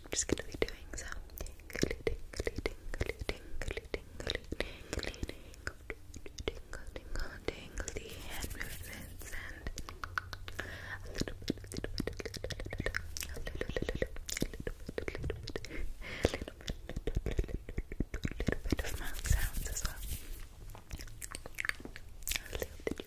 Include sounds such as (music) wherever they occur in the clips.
I'm just gonna be doing some tingly, tingly, tingly, tingly, tingly, tingly, tingle, tingle, tingly hand movements and a little bit, a little bit, a little bit, a little bit, a little bit, a little bit, a little bit of mouth sounds as well. A little bit,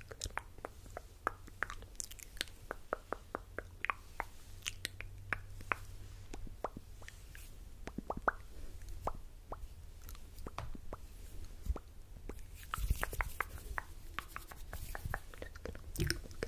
just gonna feel around your face, okay?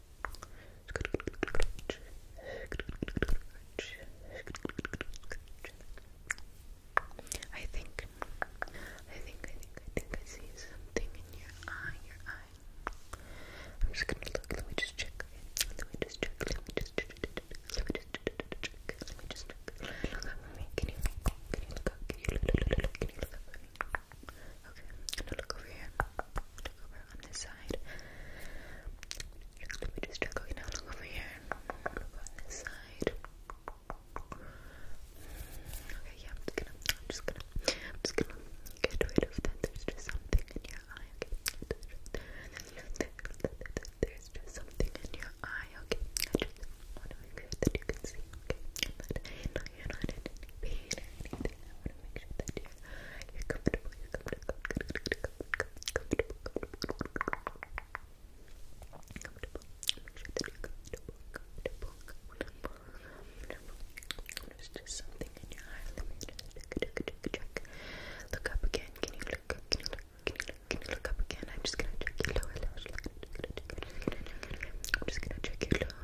I think, I think, I think, I think I see something in your eye, your eye. I'm just gonna look, let me just check, let me just check, let me just check, let me just check, let me just check, let me just check. Look up can you, look up, can you look, look, can you look up Okay, I'm look over here, look over on this side. Let me just check. Okay, now over here. on this side. Okay, yeah, I'm just gonna, I'm just gonna, I'm just gonna get rid of that. There's just something in your eye. there's just something in your eye. Okay, I just want to make sure that you can see. Okay, but no, you not in any pain or anything. I want to make sure that you you just something in your eye. Let me just check. Look up again. Can you look? Can you look? Can you look? Can you look up again? I'm just gonna check your lower I'm just gonna check your lower,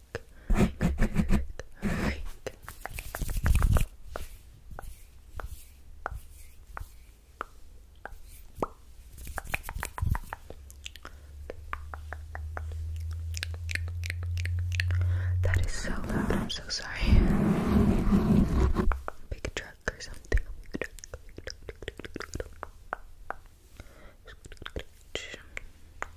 That is so loud. I'm so sorry. Big truck or something.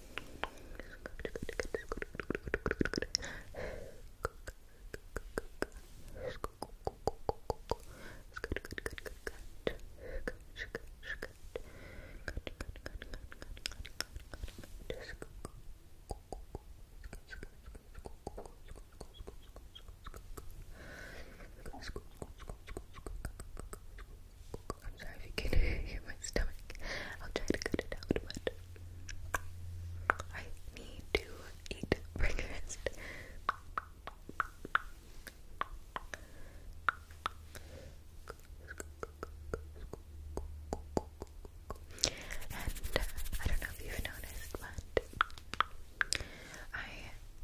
I'm sorry if you can (laughs) hear my stomach. I'll try to cut it out, but I need to eat breakfast. And uh, I don't know if you've noticed, but I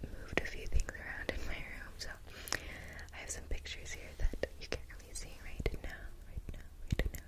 moved a few things around in my room, so I have some pictures here that you can't really see right now, right now, right now,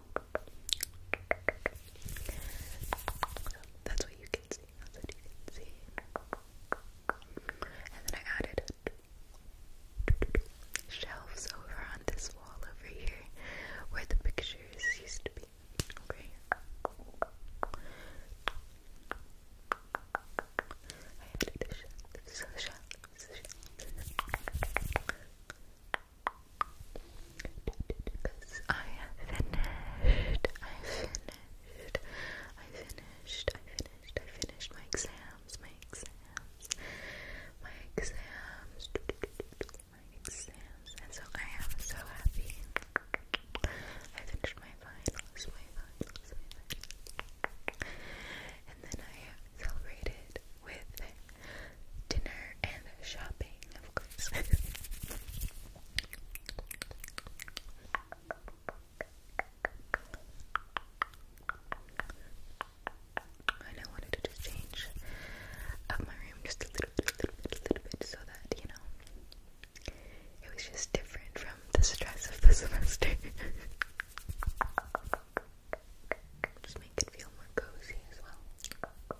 So that's what you can see. That's what you can see. And then I added shelves over on this wall over here where the pictures used to be. I added a shelf, shelf, shelf. Because I finished, I finished, I finished, I finished, I finished my exams, my exams, my exams, my exams, and so I am so happy. I finished my finals, my finals. And then I celebrated with dinner and shopping, of course. and I wanted to just change up my room just a little bit, little bit, little bit, so that, you know, it was just different from the stress of the (laughs) semester. Just make it feel more cozy as well.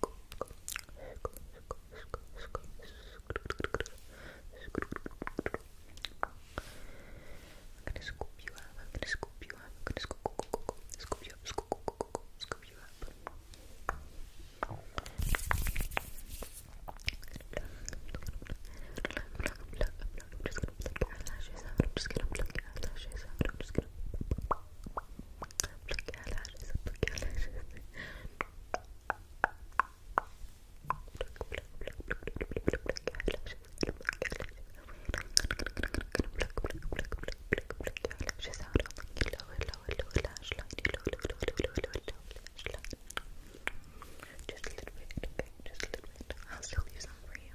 gonna scoop you up. I'm gonna scoop you up. I'm gonna scoop, scoop you up. Scoop, scoop you up. I'm just gonna pluck your eyelashes out. I'm just gonna pluck your eyelashes out. I'm just gonna pluck Plakalar, plakalar. Just a little bit, okay? Just a little bit. I'll still use them for you.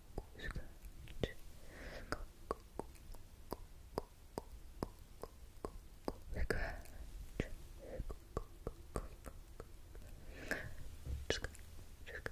scratch. Scratch. Good.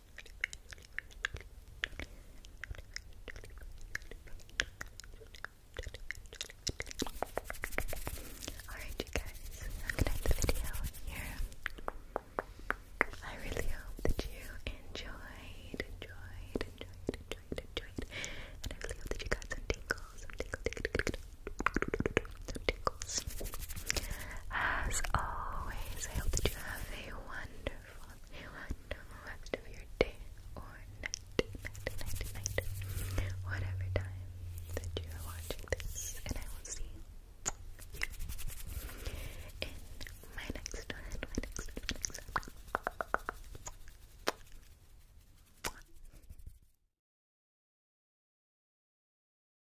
Alright, you guys, I'm gonna end the video here. I really hope that you enjoyed, enjoyed, enjoyed, enjoyed, enjoyed. And I really hope that you got some tingles, some As always, I hope that you have a wonderful, a wonderful day or night, night, night, night, whatever time that you are watching this, and I will see you in my next my next my next